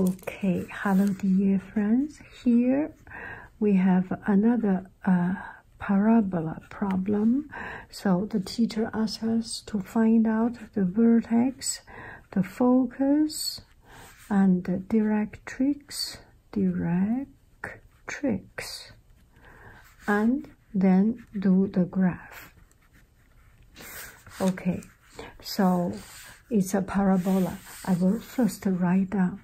Okay, hello dear friends. Here we have another uh, parabola problem. So the teacher asks us to find out the vertex, the focus, and the directrix, directrix, and then do the graph. Okay, so it's a parabola. I will first write down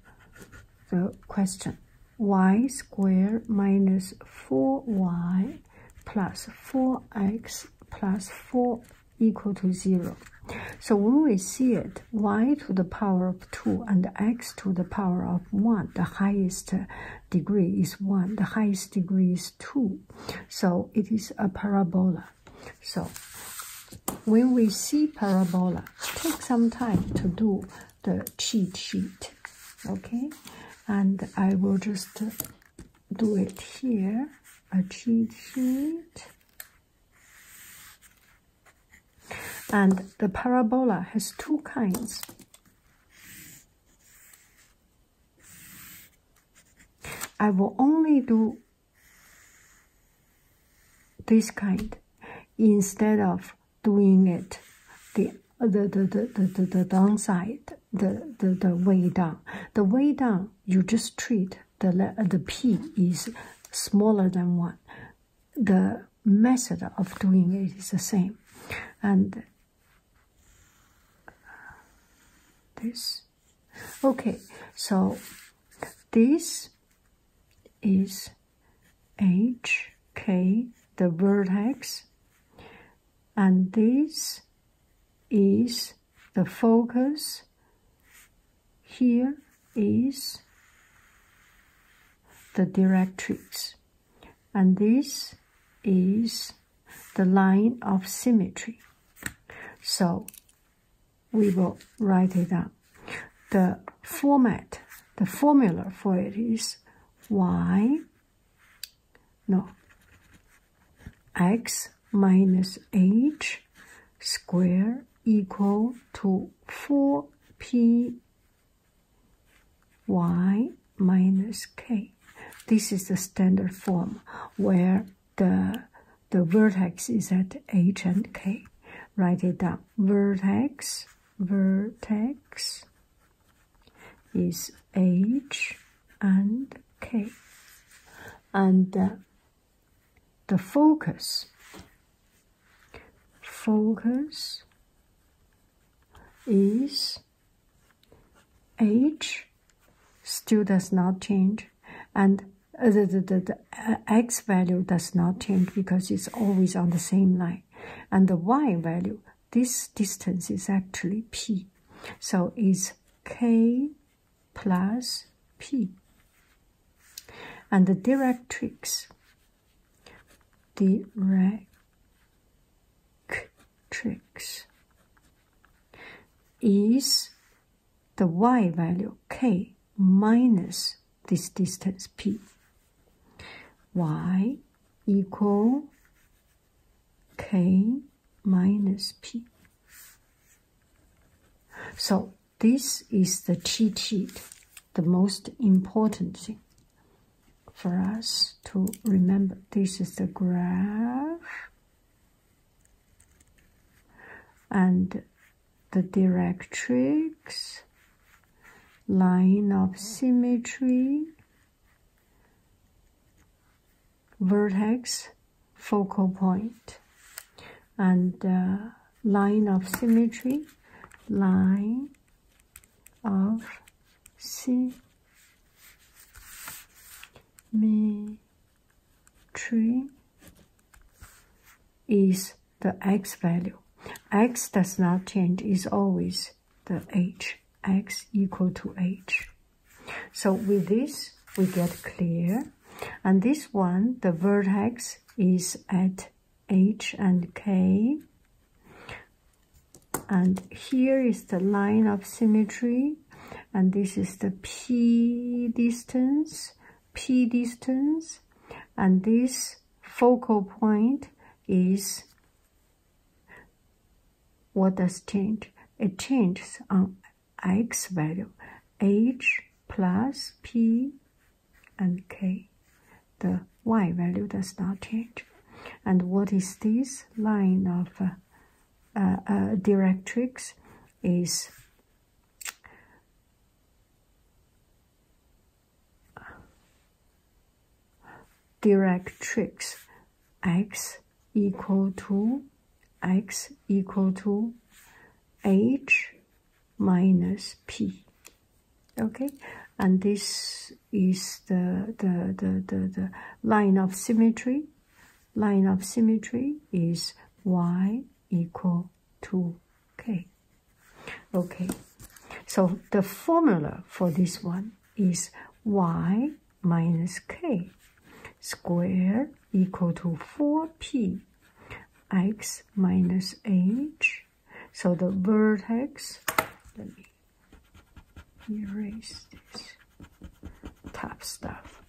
the question. y squared minus 4y plus 4x plus 4 equal to 0. So when we see it, y to the power of 2 and x to the power of 1, the highest degree is 1, the highest degree is 2. So it is a parabola. So when we see parabola, take some time to do the cheat sheet, okay? And I will just do it here, a cheat sheet. And the parabola has two kinds. I will only do this kind instead of doing it the the the the the, the downside the the the way down the way down you just treat the the p is smaller than one the method of doing it is the same and this okay so this is h k the vertex and this is the focus here is the directrix and this is the line of symmetry. So we will write it down. The format, the formula for it is y, no, x minus h square equal to 4py minus k. This is the standard form where the the vertex is at H and K. Write it down. Vertex, vertex is H and K. And the focus, focus is age still does not change and the, the, the, the uh, x value does not change because it's always on the same line and the y value this distance is actually p so it's k plus p and the directrix direct tricks is the y value k minus this distance p. y equal k minus p. So this is the cheat sheet, the most important thing for us to remember. This is the graph and the directrix, line of symmetry, vertex, focal point, and the uh, line of symmetry, line of symmetry. 3 is the x value. x does not change, is always the h, x equal to h. So with this, we get clear. And this one, the vertex is at h and k. And here is the line of symmetry and this is the P distance, P distance, and this focal point is what does change? It changes on x value, h plus p and k. The y value does not change. And what is this line of uh, uh, uh, directrix is directrix x equal to x equal to h minus p okay and this is the the, the, the line of symmetry line of symmetry is y equal to k. Okay, so the formula for this one is y minus k square equal to 4p x minus h. So the vertex, let me erase this top stuff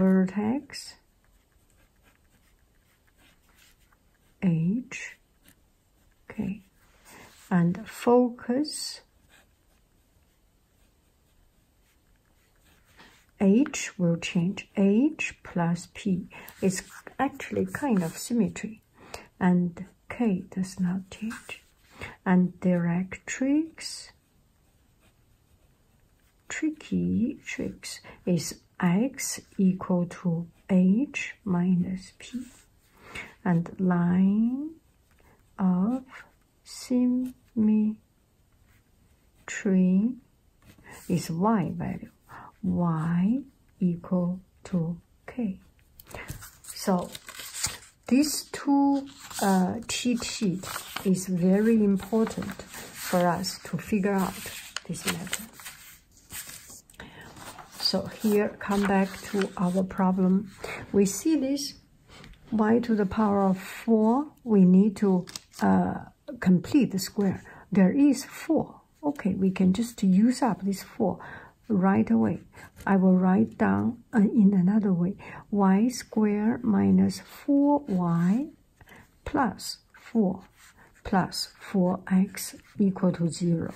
vertex H okay and focus H will change H plus P is actually kind of symmetry and K does not change and directrix tricky tricks is x equal to h minus p and line of symmetry is y value y equal to k so these two uh, cheat sheet is very important for us to figure out this matter. So here, come back to our problem. We see this y to the power of 4, we need to uh, complete the square. There is 4. Okay, we can just use up this 4 right away. I will write down uh, in another way, y squared minus 4y plus 4 plus 4x equal to 0.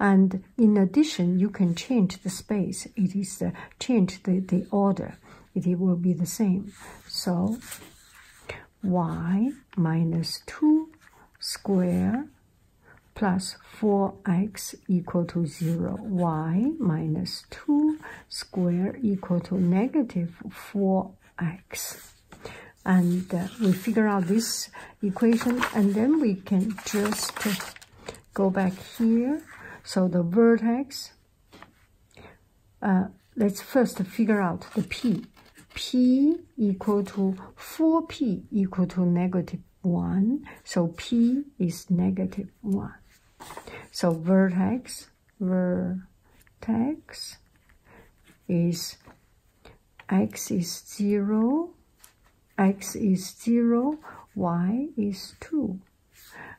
And in addition, you can change the space. It is uh, change the, the order. It, will be the same. So y minus 2 squared plus 4x equal to 0, y minus 2 square equal to negative 4x. And uh, we figure out this equation, and then we can just go back here. So the vertex, uh, let's first figure out the p. p equal to 4p equal to negative 1. So P is negative 1. So vertex, vertex is x is 0, x is 0, y is 2.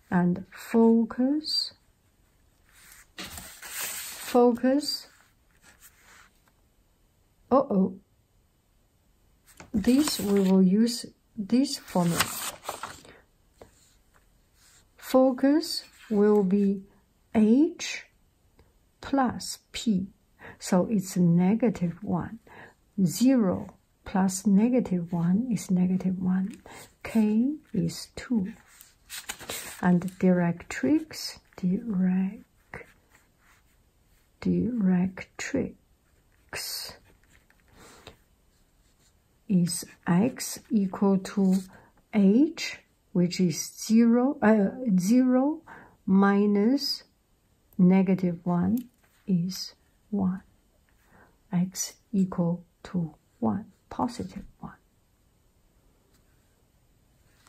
And focus, focus, Oh oh this we will use this formula. Focus will be H plus P. So it's negative 1. 0 plus negative 1 is negative 1. K is 2. And directrix, direct, directrix x is x equal to h which is 0, uh, 0 minus negative 1 is 1. x equal to 1, positive 1.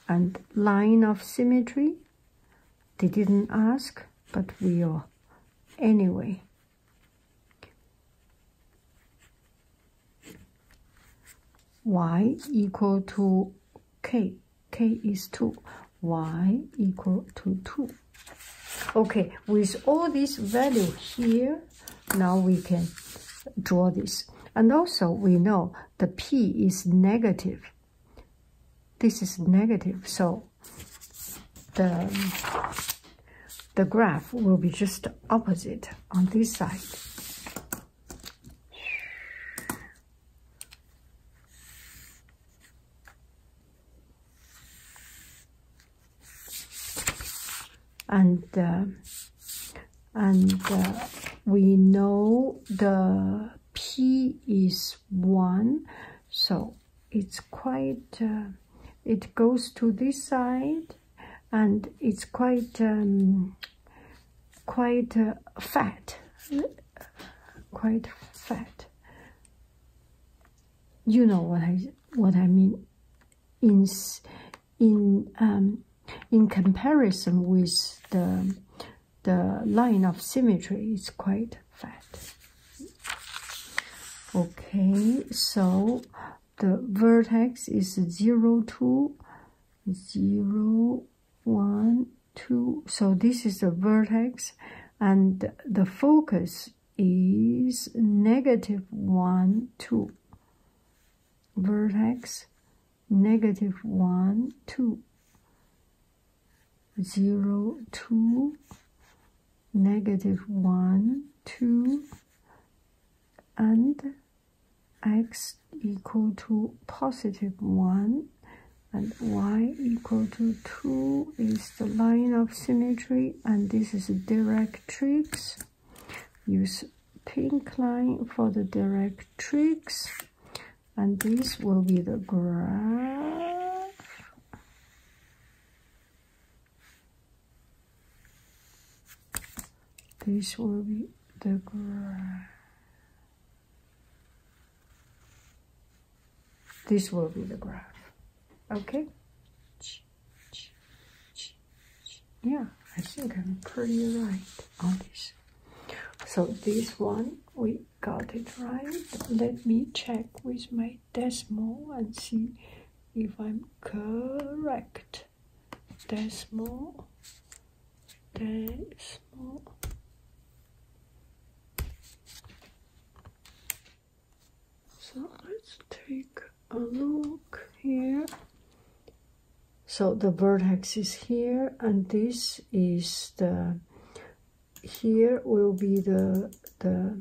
And line of symmetry they didn't ask, but we are. Anyway. y equal to k. k is 2. y equal to 2. Okay, with all this value here, now we can draw this. And also we know the p is negative. This is negative, so the, the graph will be just opposite on this side. And, uh, and uh, we know the P is 1, so it's quite, uh, it goes to this side and it's quite, um, quite uh, fat, quite fat. You know what I, what I mean in, in, um, in comparison with the, the line of symmetry, it's quite fat. Okay, so the vertex is 0, 2, 0, 1, 2. So this is the vertex and the focus is negative 1, 2. Vertex, negative 1, 2 zero two negative one two and x equal to positive one and y equal to 2 is the line of symmetry and this is directrix use pink line for the directrix and this will be the graph this will be the graph. This will be the graph. Okay? Yeah, I think I'm pretty right on this. So this one we got it right. Let me check with my Desmo and see if I'm correct. Desmo, Desmo. So let's take a look here. So the vertex is here and this is the here will be the the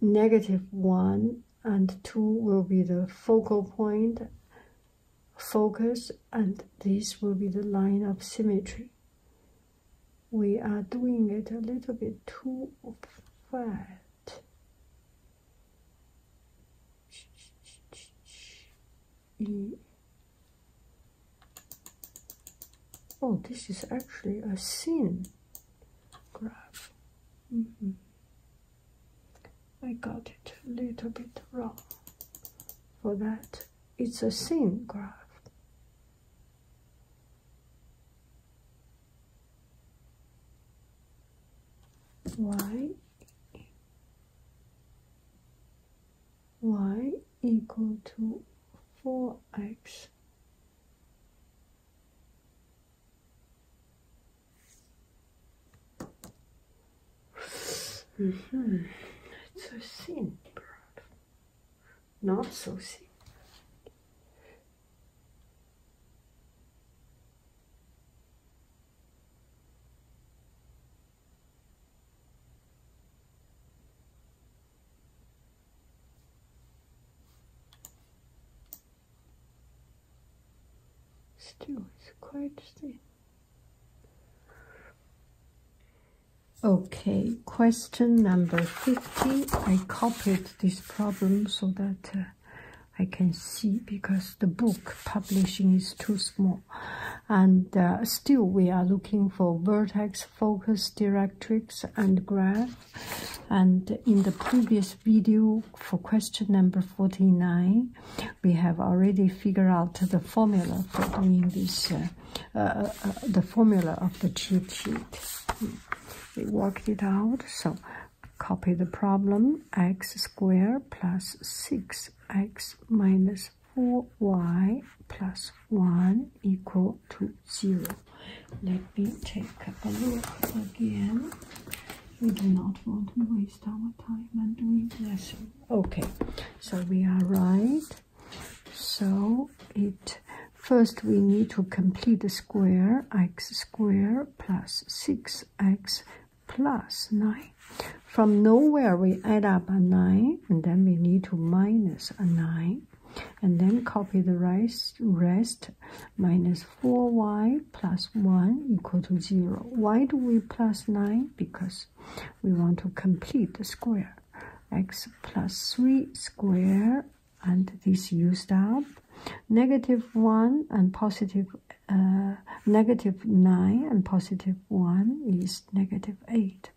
negative one and two will be the focal point focus and this will be the line of symmetry we are doing it a little bit too fast Mm. Oh, this is actually a sin graph. Mm-hmm. I got it a little bit wrong. For that, it's a sin graph. Why? y equal to 4x -hmm. it's so simple not so simple Still, it's quite thin. Okay, question number 50. I copied this problem so that uh, I can see because the book publishing is too small. And uh, still we are looking for vertex, focus, directrix, and graph. And in the previous video for question number 49, we have already figured out the formula for doing this, uh, uh, the formula of the cheat sheet. We worked it out, so copy the problem x squared plus 6x minus is 4y plus 1 equal to 0. Let me take a look again. We do not want to waste our time and doing lesson. Okay, so we are right. So it first we need to complete the square x squared plus 6x plus 9 from nowhere, we add up a 9, and then we need to minus a 9. And then copy the rest, rest minus 4y plus 1 equal to 0. Why do we plus 9? Because we want to complete the square. x plus 3 square, and this used up. Negative 1 and uh, 9 and positive 1 is negative negative 8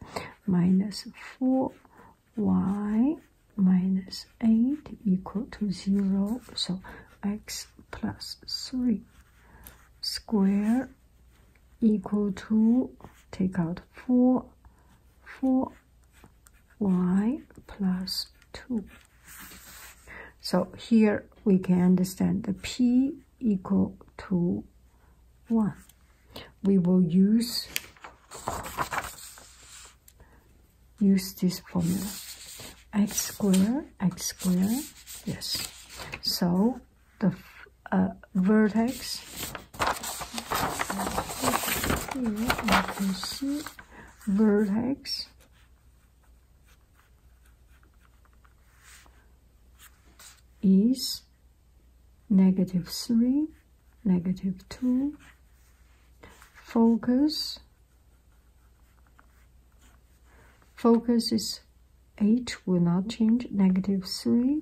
minus 4y minus 8 equal to 0. So x plus 3 square equal to take out 4 4y plus 2. So here we can understand the p equal to 1. We will use use this formula x squared, x squared. yes so the uh, vertex vertex is negative 3, negative 2, focus, focus is 8 will not change, negative 3,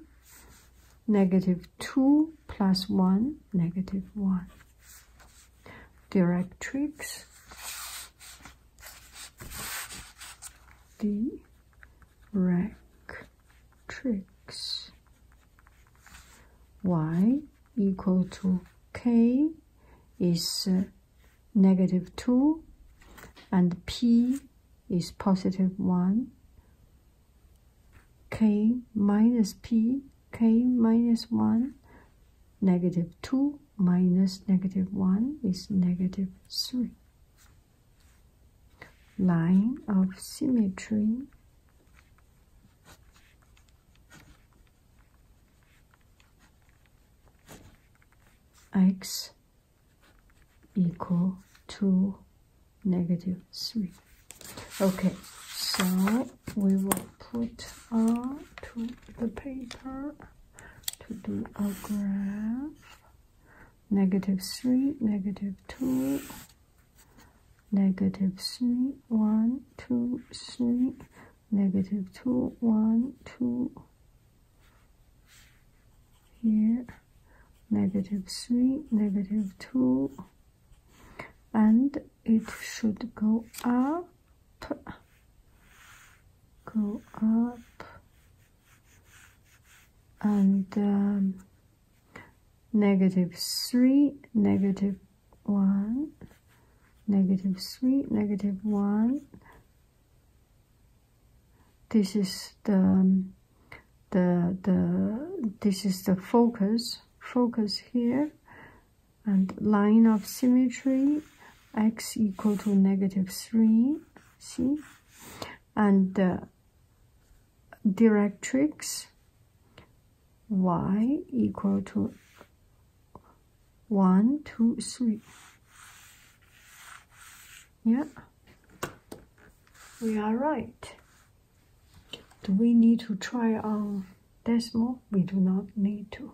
negative 2 plus 1, negative 1. Directrix, D, Rack tricks. y equal to k is uh, 2 and p is positive 1 k minus p k minus 1 negative 2 minus negative 1 is negative 3 line of symmetry x equal to negative 3 okay so we will put on to the paper to do a graph negative 3, negative 2, negative 3, 1, 2, 3, negative 2, 1, 2, here, negative 3, negative 2, and it should go up, go up, and um, 3, negative 1, negative 3, negative 1. This is the, um, the, the, this is the focus, focus here, and line of symmetry, x equal to negative 3, see? and the uh, directrix y equal to 1, 2, 3. Yeah, we are right. Do we need to try on decimal? We do not need to.